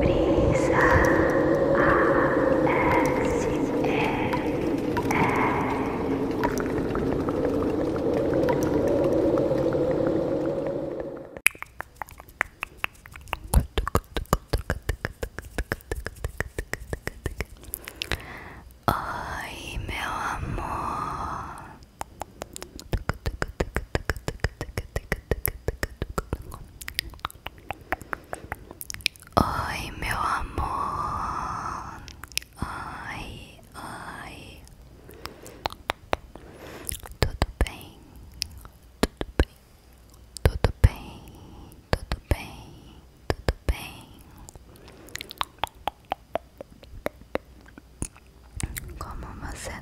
Brisa Oi, meu amor. Oi, meu amor. Oi, oi. Tudo bem? Tudo bem? Tudo bem? Tudo bem? Tudo bem? Como você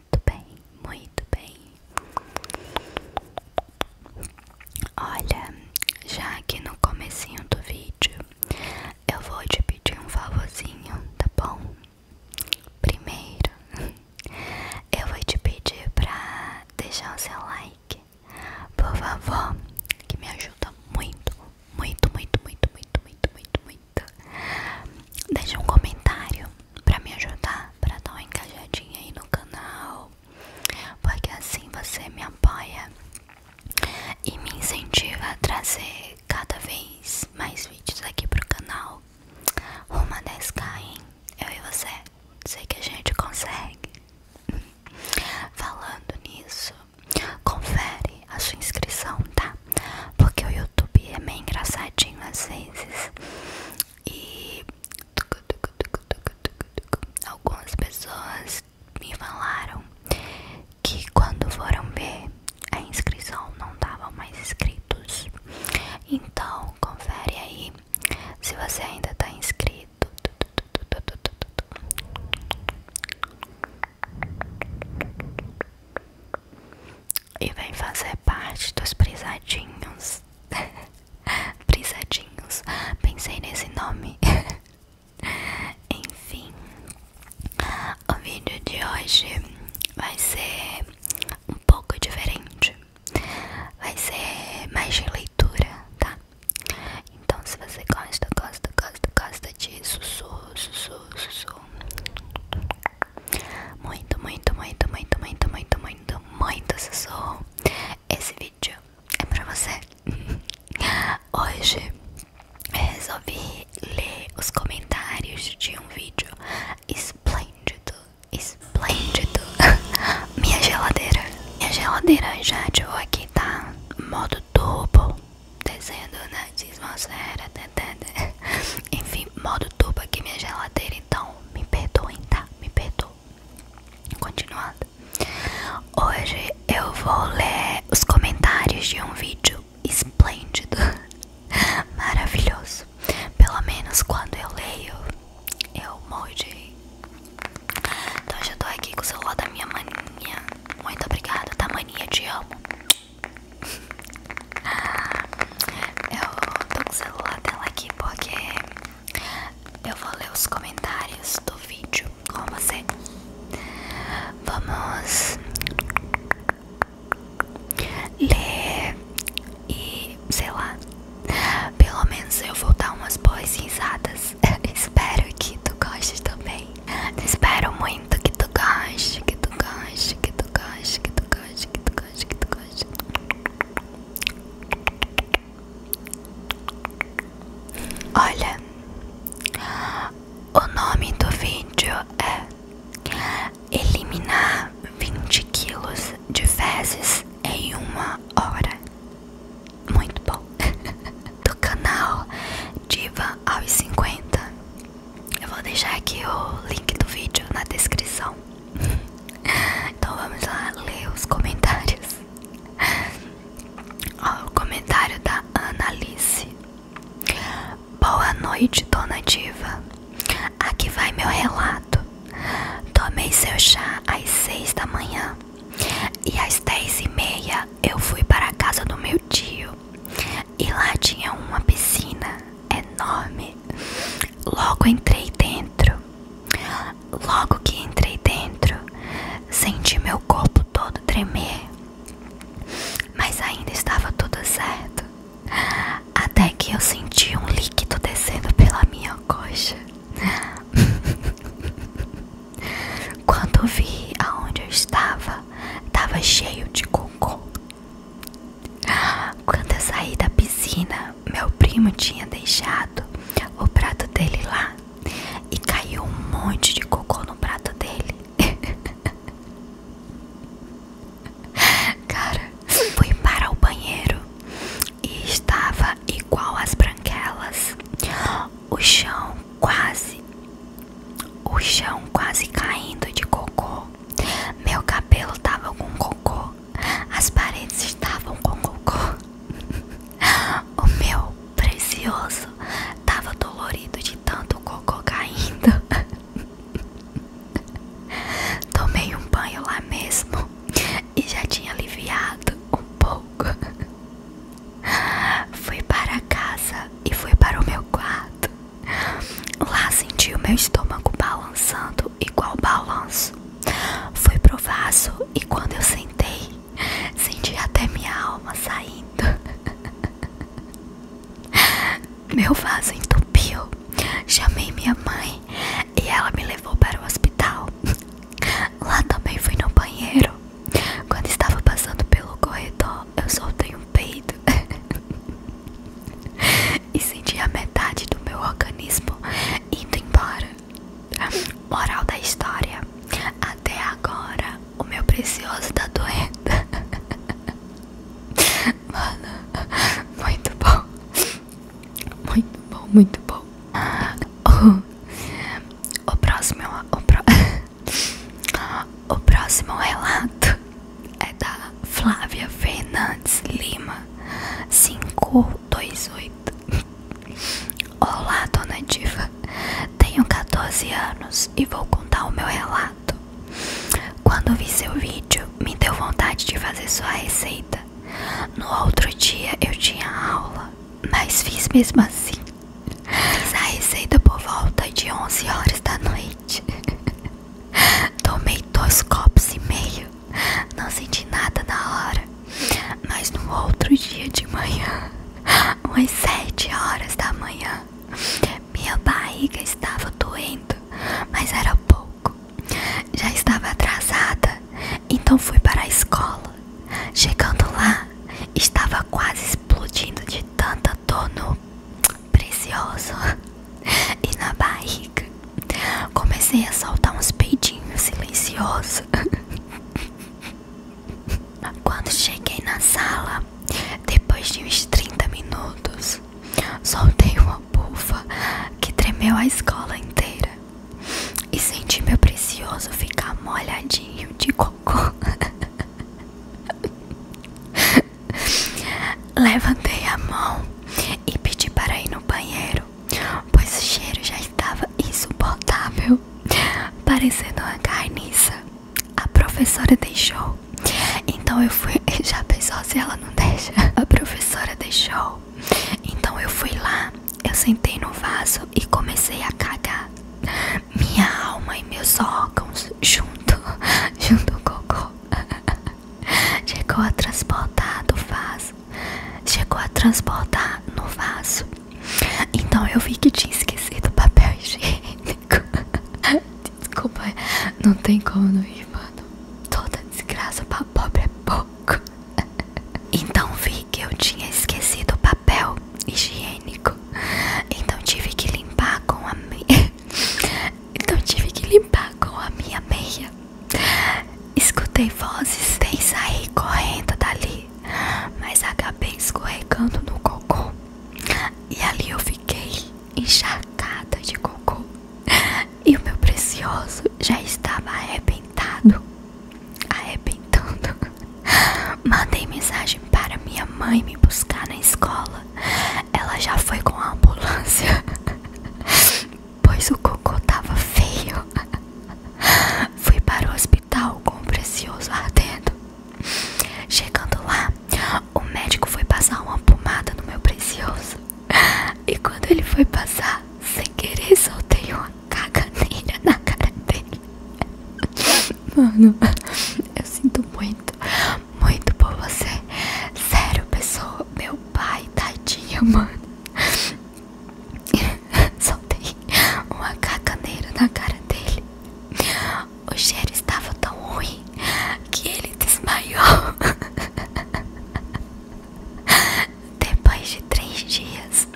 muito bem, muito bem. Olha, já aqui no comecinho do vídeo, eu vou te pedir um favorzinho, tá bom? Primeiro, eu vou te pedir para deixar o seu like, por favor, que me ajuda muito, muito, muito, muito, muito, muito, muito, muito. Deixa um comentário para me ajudar, para dar uma engajadinha aí no canal, porque assim você me apoia e me incentiva a trazer cada vez mais vídeos aqui pro canal. Uma 10k, hein? Eu e você, sei que a gente consegue. Falando nisso, confere a sua inscrição, tá? Porque o YouTube é meio engraçadinho às vezes. E algumas pessoas me falaram que quando foram ver a inscrição não tava mais inscritos. Então confere aí se você ainda está inscrito. E vem fazer parte dos prisadinhos Brisadinhos. Pensei nesse nome. Enfim, o vídeo de hoje vai ser um pouco diferente. Vai ser mais de leitura, tá? Então, se você gosta, gosta, gosta, gosta de sussurro, sussurro, sussurro. Muito, muito, muito, muito, muito, muito, muito muito, muito, Sussurro. Esse vídeo é pra você. Hoje eu resolvi ler os comentários de um vídeo esplêndido, esplêndido. Minha geladeira. Minha geladeira já ativou aqui, tá? Modo turbo. Descendo na atmosfera. Tá, tá, tá. Enfim, modo turbo aqui minha geladeira, então me perdoem, tá? Me perdoem. Continuando. Hoje eu vou ler os comentários de um vídeo esplêndido, maravilhoso. Pelo menos quando eu leio, eu morro de. Então eu tô aqui com o celular da minha maninha. Muito obrigada, tá maninha? Te amo. Eu tô com o celular dela aqui porque eu vou ler os comentários do vídeo com você. Vamos ler e sei lá. Pelo menos eu vou dar umas boas risadas. Espero que tu goste também. Espero muito que tu goste, que tu goste, que tu goste, que tu goste, que tu goste, que tu goste. Olha, o nome do vídeo é Eliminar 20 quilos de fezes em uma hora. Muito bom. do canal Diva aos 50. Eu vou deixar aqui o link do vídeo na descrição. Então vamos lá ler os comentários. Ó, o comentário da Analice. Boa noite, dona Diva. Aqui vai meu relato. Tomei seu chá às seis da manhã e às dez e meia eu fui para a casa do meu tio e lá tinha uma piscina enorme. Logo entrei dentro Logo que entrei dentro, senti meu corpo todo tremer, mas ainda estava tudo certo. Até que eu senti um líquido descendo pela minha coxa. Quando vi aonde eu estava, estava cheio de cocô. Quando eu saí da piscina, meu primo tinha deixado o prato dele lá e caiu um monte de cocô no prato dele. Cara, fui para o banheiro e estava igual às branquelas. O chão quase, o chão quase caindo de cocô. Meu cabelo estava com cocô as paredes estavam com cocô. o meu precioso estava dolorido de tanto cocô caindo. Tomei um banho lá mesmo e já tinha aliviado um pouco. Fui para casa e fui para o meu quarto. Lá senti o meu estômago balançando igual balanço. Fui pro vaso e quando eu sentei, senti até minha alma saindo. Meu vaso entupiu. Chamei minha mãe e ela me levou para o hospital. Lá também fui no banheiro. Quando estava passando pelo corredor, eu soltei um peido e senti a metade do meu organismo indo embora. Moral da história: até agora o meu precioso tá doendo. Mano, muito bom. Muito bom, muito bom. O, próximo o, pro, o próximo relato é da Flávia Fernandes Lima 528 Olá, dona Diva. Tenho 14 anos e vou contar o meu relato. Quando vi seu vídeo, me deu vontade de fazer sua receita. No outro dia eu tinha aula, mas fiz mesmo assim. a receita por volta de 11 horas da noite. Tomei dois copos e meio. Não senti nada na hora, mas no outro dia de manhã, umas sete horas da manhã, minha barriga estava doendo, mas era pouco. Já estava atrasada, então fui para a escola. Chegando lá, estava quase explodindo de tanta dor no precioso e na barriga. Comecei a soltar uns peidinhos silenciosos. Quando cheguei na sala, depois de uns 30 minutos, soltei uma bufa que tremeu a escola inteira e senti meu precioso ficar molhadinho de cocô. Levantei a mão e pedi para ir no banheiro, pois o cheiro já estava insuportável, parecendo uma carniça. A professora deixou, então eu fui. Já pensou se ela não deixa? A professora deixou, então eu fui lá, eu sentei no vaso e comecei a cagar. Minha alma e meus órgãos junto, junto ao cocô. Chegou a transportar do vaso Chegou a transportar no vaso. Então eu vi que tinha esquecido o papel higiênico. Desculpa, não tem como não ir, mano. Toda desgraça pra pobre é pouco. Então vi que eu tinha esquecido o papel higiênico. Então tive que limpar com a Então tive que limpar com a minha meia. Escutei vozes sem sair correndo dali, mas acabei escorregando no cocô. E ali eu fiquei encharcada de cocô. E o meu precioso já estava arrebentado. Arrebentando. Mandei mensagem para minha mãe me buscar na escola. Ela já foi com a ambulância pois o cocô tava feio. Fui para o hospital com o precioso ardendo. Chegando lá, o médico foi passar uma pomada no meu precioso. E quando ele foi passar, sem querer, soltei uma caganeira na cara dele. Mano, eu sinto muito, muito por você. Sério, pessoa, meu pai, tadinha, mano. Soltei uma cacaneira na cara dele. O cheiro estava tão ruim que ele desmaiou. Depois de três dias,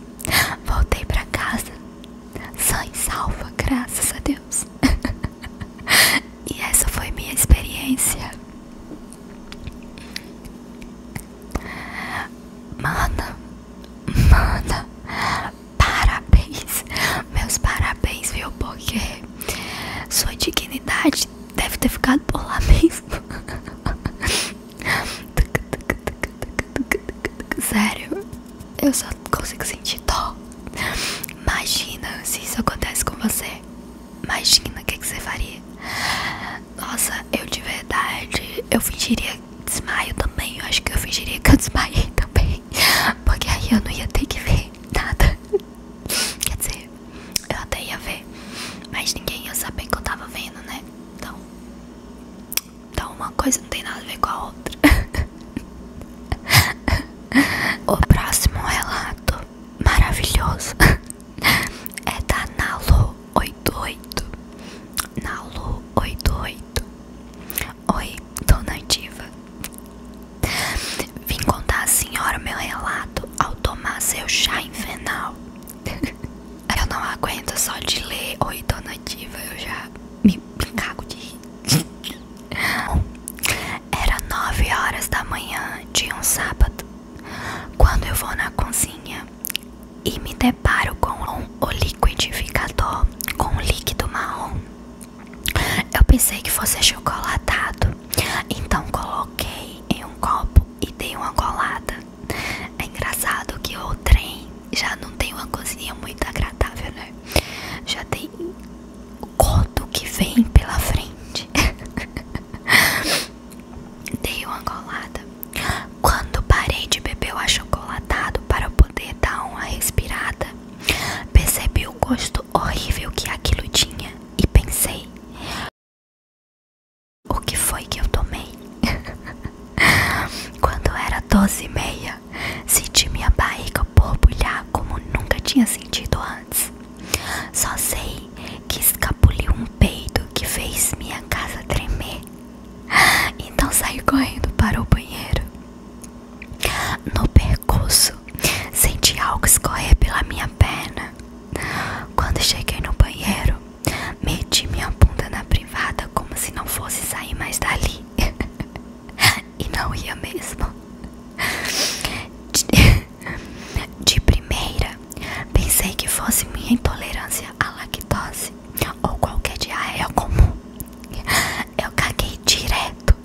voltei para casa, sã e salva, graças a Deus. e essa foi minha experiência. Mana, mana, parabéns, meus parabéns, viu? Porque sua dignidade deve ter ficado por lá mesmo. Sério, eu só consigo sentir dó. Imagina se isso acontece com você. Imagina o que, que você faria. Nossa, eu de verdade, eu fingiria desmaio também. Eu acho que eu fingiria que eu desmaiei também. Porque aí eu não ia ter que ver nada. Quer dizer, eu até ia ver. Mas ninguém ia saber que eu tava vendo, né? Então. Então uma coisa não tem nada a ver com a outra. o próximo relato maravilhoso é da Nalu 88 Nalu 88 Oi, dona diva Vim contar a senhora meu relato ao tomar seu chá infenal. Eu não aguento só de ler Oi, dona diva, eu já me, cago de rir Era nove horas da manhã de um sábado quando eu vou na cozinha e me deparo com um, o liquidificador com líquido marrom. Eu pensei que fosse chocolatado, então coloquei em um copo e dei uma golada. É engraçado que o trem já não tem uma cozinha muito agradável, né? Já tem o corpo que vem pela frente. dei uma golada quando parei de beber o achocolatado para poder dar uma respirada, percebi o gosto horrível que aquilo tinha e pensei: o que foi que eu tomei? Quando era doze e meia, senti minha barriga borbulhar como nunca tinha sentido antes. Só sei que escapuliu um peido que fez minha casa tremer. Então saí correndo para o banheiro. No percurso, senti algo escorrer pela minha perna. Quando cheguei no banheiro, meti minha bunda na privada como se não fosse sair mais dali. e não ia mesmo. De primeira, pensei que fosse minha intolerância à lactose ou qualquer diarreia ah, é comum. Eu caguei direto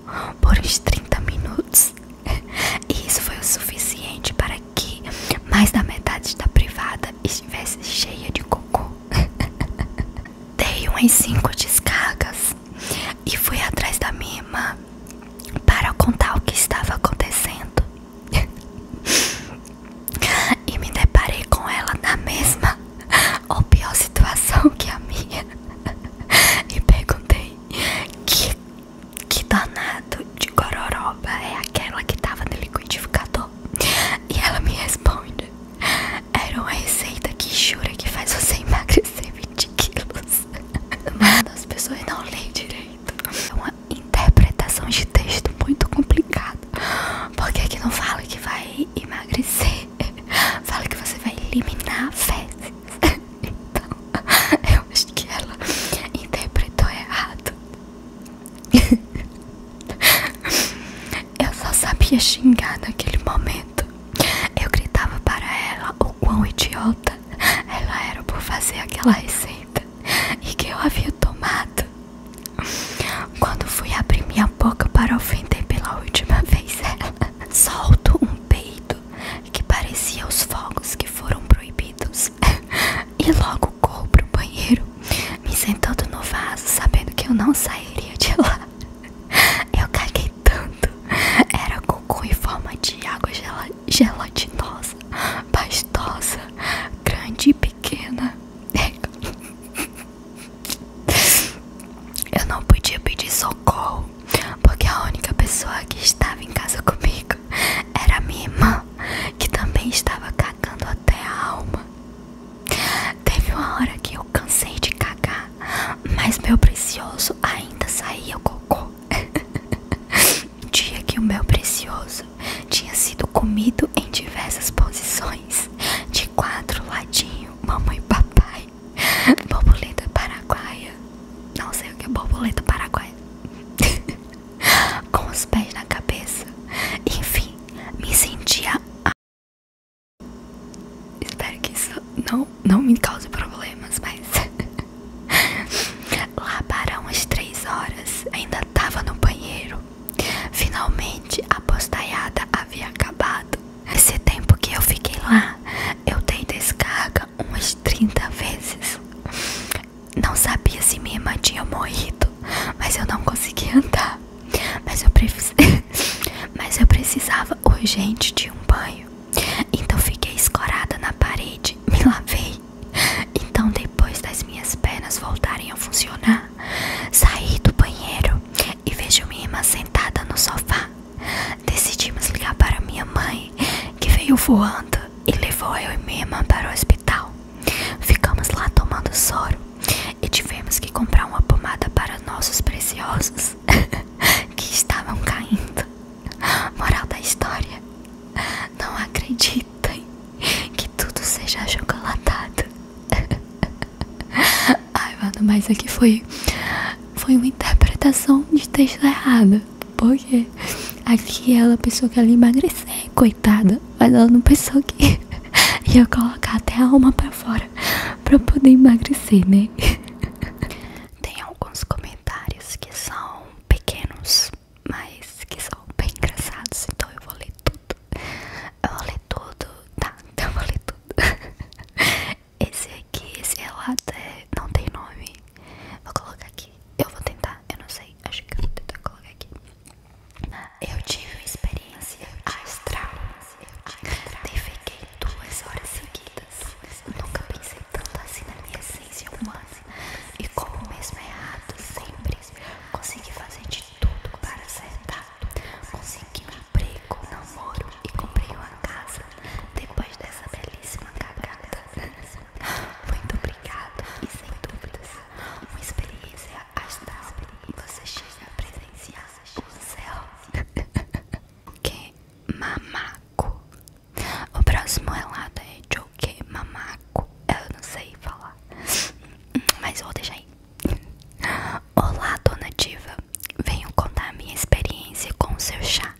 por uns 30 minutos. E isso foi o suficiente para que mais da metade da privada estivesse cheia de cocô. Dei umas 5 descargas e fui atrás da minha irmã para contar o que estava acontecendo e me deparei com ela na mesma ou pior situação que a minha e perguntei que, que danado de gororoba é aquela que tava no liquidificador e ela me responde era uma receita que jura que faz você emagrecer 20 quilos mas as pessoas não leem direito é uma interpretação de texto muito complicada errado. Porque aqui não fala que vai emagrecer, fala que você vai eliminar fezes. Então, eu acho que ela interpretou errado. Eu só sabia xingar naquele momento. Eu gritava para ela o quão idiota ela era por fazer aquela receita e que eu havia tomado quando fui abrir minha boca para ofender pela última vez ela, soltou um peito que parecia os fogos que foram proibidos. E logo corro pro banheiro, me sentando no vaso, sabendo que eu não sairia de lá. Eu caguei tanto, era cocô em forma de água gelatinosa, pastosa, grande e pequena. Eu não podia pedir socorro, porque a única pessoa que estava em casa comigo era minha irmã, que também estava cagando até a alma. Teve uma hora que eu cansei de cagar, mas meu precioso ainda saía cocô. Dia que o meu precioso tinha sido comido em diversas posições, de quatro ladinho, mamãe e papai, borboleta paraguaia, não sei o que é borboleta paraguaia, com os pés na cabeça, enfim, me sentia Espero que isso não, não me cause problemas, mas... Lá para umas três horas, ainda tava no banheiro Finalmente a postaiada havia acabado. Esse tempo que eu fiquei lá, eu dei descarga umas 30 vezes. Não sabia se minha irmã tinha morrido, mas eu não conseguia andar. Mas eu, mas eu precisava urgente de um banho. Então fiquei escorada na parede, me lavei. Então, depois das minhas pernas voltarem a funcionar, Saí do banheiro e vejo minha irmã sentada no sofá. Decidimos ligar para minha mãe, que veio voando e levou eu e minha irmã para o hospital. Ficamos lá tomando soro e tivemos que comprar uma pomada para nossos preciosos que estavam caindo. Moral da história: não acreditem que tudo seja achocolatado. Ai, mano, mas aqui foi foi uma interpretação de texto errada. Porque aqui ela é pensou que ela ia emagrecer, coitada. Mas ela não é pensou que ia colocar até a alma pra fora pra poder emagrecer, né? Tem alguns comentários que são pequenos, mas que são bem engraçados. Então eu vou ler tudo. Eu vou ler tudo. Tá, então eu vou ler tudo. esse aqui, esse relato é, não tem nome. Vou colocar aqui. Eu vou tentar, eu não sei. Acho que eu vou tentar colocar aqui. Eu tive uma experiência astral. Defequei duas horas seguidas. Nunca pensei tanto assim na minha essência humana. E como mesmo errado, sempre consegui fazer de tudo para acertar. Consegui um emprego, namoro e comprei uma casa depois dessa belíssima cagada. Muito obrigado e sem dúvidas, uma experiência astral. Você chega a presenciar o céu. que mamaco. O próximo relato é de o que mamaco. Eu não sei falar, mas vou deixar aí. Olá, dona Diva. Venho contar minha experiência com o seu chá.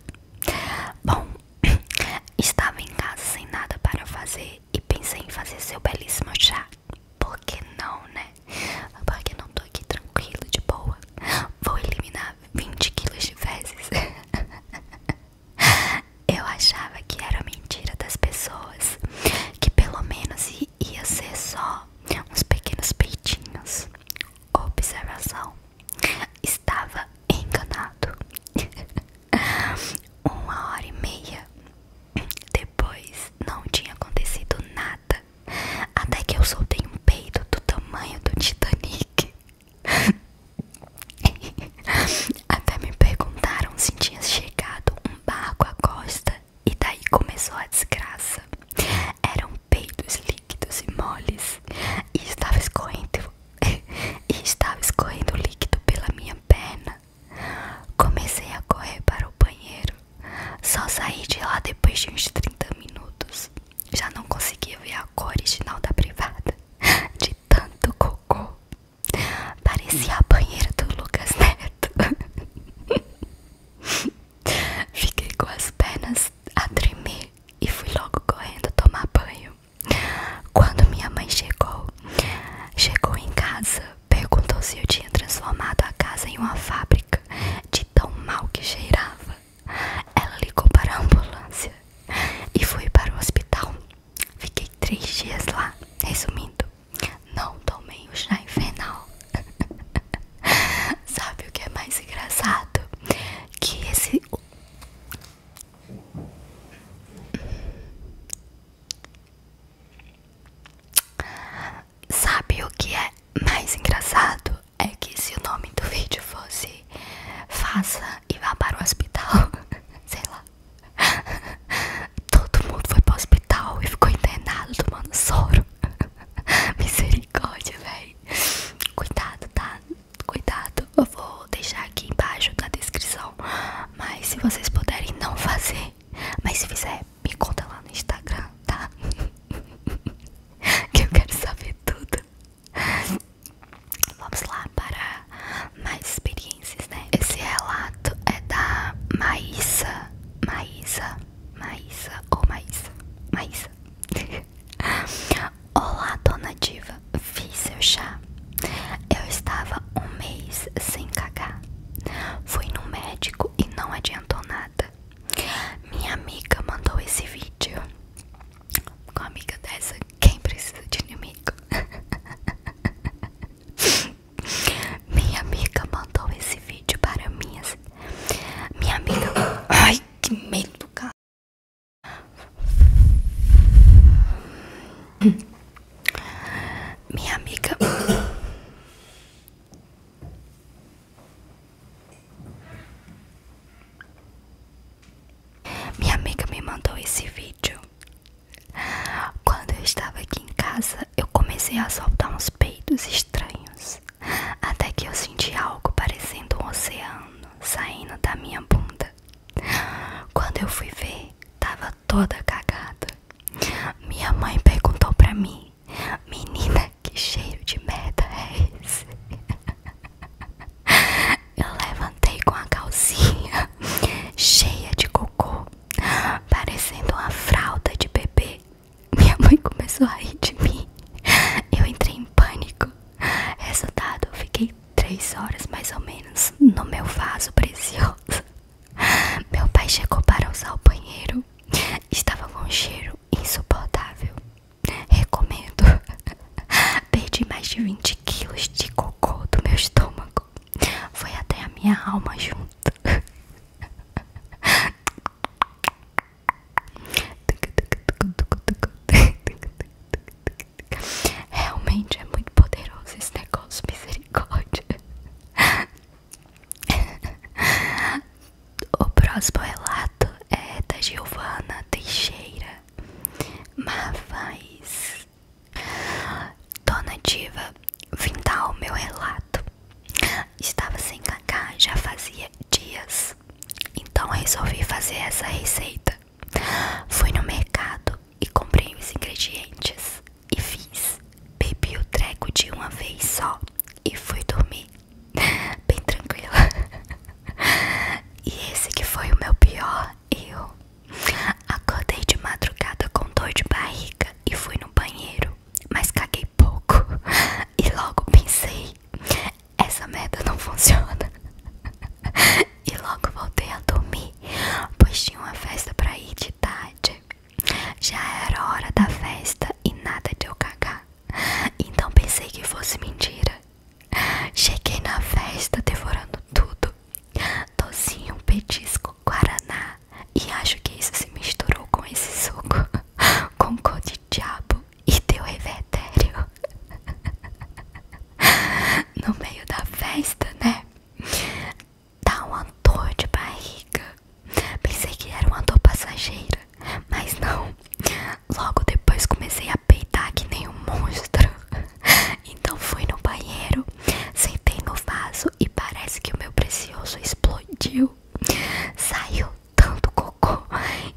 Bom, estava em casa sem nada para fazer e pensei em fazer seu belíssimo chá. Por que não, né? Porque não tô aqui tranquilo, de boa. Vou eliminar 20 quilos de fezes. Eu achava que era mentira das pessoas que pelo menos ia ser só uns pequenos peitinhos. Observação: estava enganado. Uma hora e meia depois não tinha acontecido nada. Até que eu soltei um peito do tamanho do Titanic. Até me perguntaram se tinha chegado um barco à costa e daí começou a desgraça. Eram peitos líquidos e moles. E estava escorrendo. estava escorrendo líquido pela minha perna. Comecei a correr para o banheiro. Só saí de lá depois de uns 30 minutos. Já não conseguia ver a cor original da privada. De tanto cocô. Parecia a banheira do Lucas Neto. Fiquei com as pernas a tremer e fui logo correndo tomar banho. Quando minha mãe chegou, chegou em casa, perguntou se eu tinha transformado a casa em uma fábrica de tão mal que cheirava. Ela ligou para a ambulância e foi para o hospital. Fiquei três dias lá. Resumindo, não tomei o chá infernal. Sabe o que é mais engraçado? Que esse. Sabe o que é mais engraçado? É que se o nome do vídeo fosse Faça e vá para o hospital, sei lá. Todo mundo foi pro hospital e ficou internado tomando soro. Misericórdia, velho. Cuidado, tá? Cuidado. Eu vou deixar aqui embaixo na descrição. Mas se vocês puderem não fazer, mas se fizer, me conta lá no Instagram, tá? que eu quero saber tudo. Vamos lá para mais experiências, né? Esse relato é da Maísa. Maísa Maísa ou Maísa? Maísa. Olá, dona diva. Vi seu chá. Eu estava um mês sem cagar. Fui no médico e não adiantou nada. Minha amiga mandou esse vídeo. Com amiga dessa, quem precisa de inimigo? Minha amiga mandou esse vídeo para minhas Minha amiga. Ai, que medo do cara. Minha amiga. Minha amiga me mandou esse vídeo. Quando eu estava aqui em casa, eu comecei a soltar uns peitos estranhos, até que eu senti algo parecendo um oceano saindo da minha bunda. Quando eu fui ver, tava toda cagada. Minha mãe perguntou pra mim: Menina, que cheiro de merda é esse? Eu levantei com a calcinha cheia de cocô, parecendo uma fralda de bebê. Minha mãe começou a rir de mim. Eu entrei em pânico. Resultado, eu fiquei três horas mais ou menos no meu vaso precioso. Meu pai chegou para usar o banheiro. Estava com um cheiro insuportável. Recomendo. Perdi mais de 20 quilos de cocô do meu estômago. Foi até a minha alma junto. Realmente é muito poderoso esse negócio, misericórdia. O próximo relato é da Giovana Teixeira Mavais. Dona Diva, vim dar o meu relato. Estava sem cacá já fazia dias, então resolvi fazer essa receita. Fui no mercado e comprei os ingredientes e fiz. Bebi o treco de uma vez só e fui dormir bem tranquila. E esse que foi o meu pior eu Acordei de madrugada com dor de barriga e fui no banheiro mas caguei pouco e logo pensei: essa merda não funciona. E logo voltei a dormir, pois tinha uma festa pra ir de tarde. Já era hora da festa e nada de eu cagar. Então pensei que fosse mentira. Cheguei na festa devorando tudo: docinho, petisco, guaraná, e acho que isso se misturou com esse suco com cor de diabo e teu revertério no meio da festa, né? Tá um andor de barriga. Pensei que era uma dor passageira, mas não. Logo depois comecei a peitar que nem um monstro. Então fui no banheiro, sentei no vaso e parece que o meu precioso explodiu. Saiu tanto cocô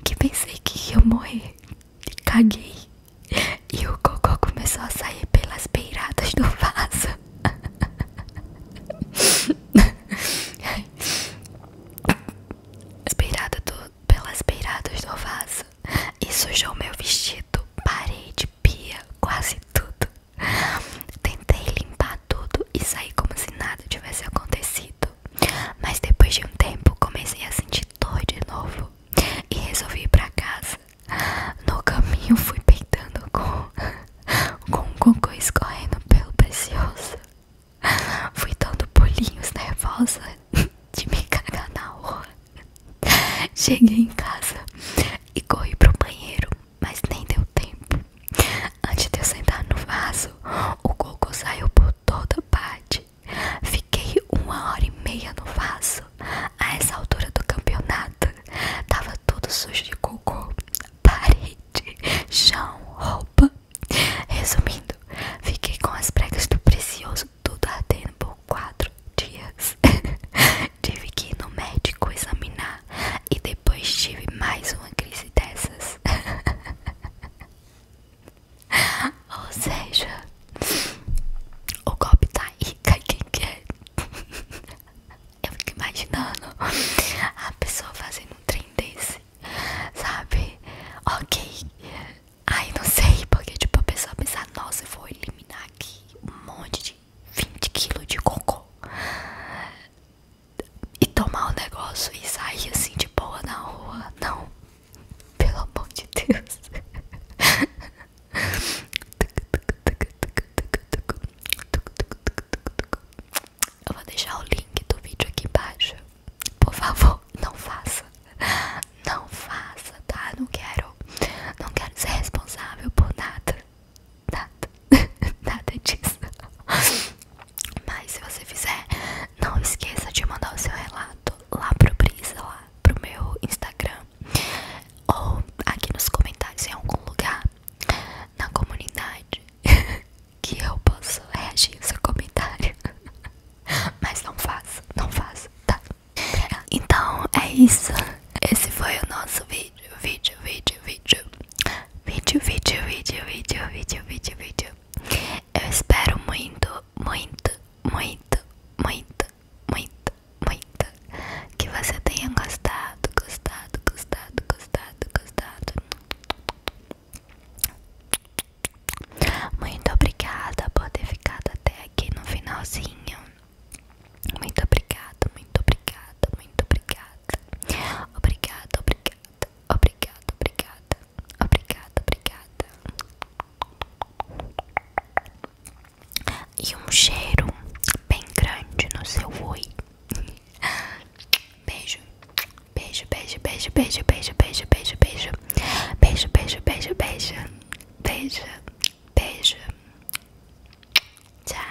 que pensei que ia morrer. Caguei e o cocô começou a sair pelas beiradas do vaso. As beiradas do, pelas beiradas do vaso e sujou meu vestido, parede, pia, quase tudo. Tentei limpar tudo e sair como se nada tivesse acontecido. Mas depois de um tempo comecei a sentir dor de novo e resolvi ir pra casa. No caminho fui peitando com, com um cocô escorrendo pelo precioso. Fui dando pulinhos nervosa de me cagar na rua. Cheguei em casa e corri pro banheiro mas nem deu tempo. Antes de eu sentar no vaso, o cocô saiu por toda parte. Fiquei uma hora e meia no vaso. A essa altura do campeonato, tava tudo sujo de cocô, parede, chão, roupa. Resumindo, fiquei com as pregas do precioso tudo ardendo por quatro dias. Tive que ir no médico examinar e depois tive mais uma crise dessas. Ou seja, o golpe tá aí, cai quem quer. Eu fico imaginando a pessoa fazendo um trem desse, sabe? Ok. Aí não sei, porque tipo, a pessoa pensa, nossa, eu vou eliminar aqui um monte de 20 quilos de cocô e tomar o um negócio e sair assim de boa na rua. Não. Pelo amor de Deus. Eu vou deixar o link do vídeo aqui embaixo. Por favor, não faça. Não faça, tá? Não quero. Não quero ser responsável por nada. Nada. Nada disso. Mas se você fizer, não esqueça de mandar o seu relato lá pro Brisa, lá pro meu Instagram. Ou aqui nos comentários em algum lugar na comunidade que eu posso reagir ao seu comentário. Mas não faço, não faço, tá? Então é isso. Esse foi o nosso vídeo, vídeo, vídeo, vídeo vídeo, vídeo, vídeo, vídeo, vídeo, vídeo, vídeo. Eu espero muito, muito, muito, muito, muito, muito que você tenha gostado, gostado, gostado, gostado, gostado. Muito obrigada por ter ficado até aqui no finalzinho. Muito obrigada, muito obrigada, muito obrigada. Obrigada, obrigada obrigada, obrigada, obrigada, obrigada, obrigada. E um cheiro bem grande no seu oi. Beijo, beijo, beijo, beijo, beijo, beijo, beijo, beijo, beijo, beijo, beijo, beijo, beijo, beijo, beijo. Tchau.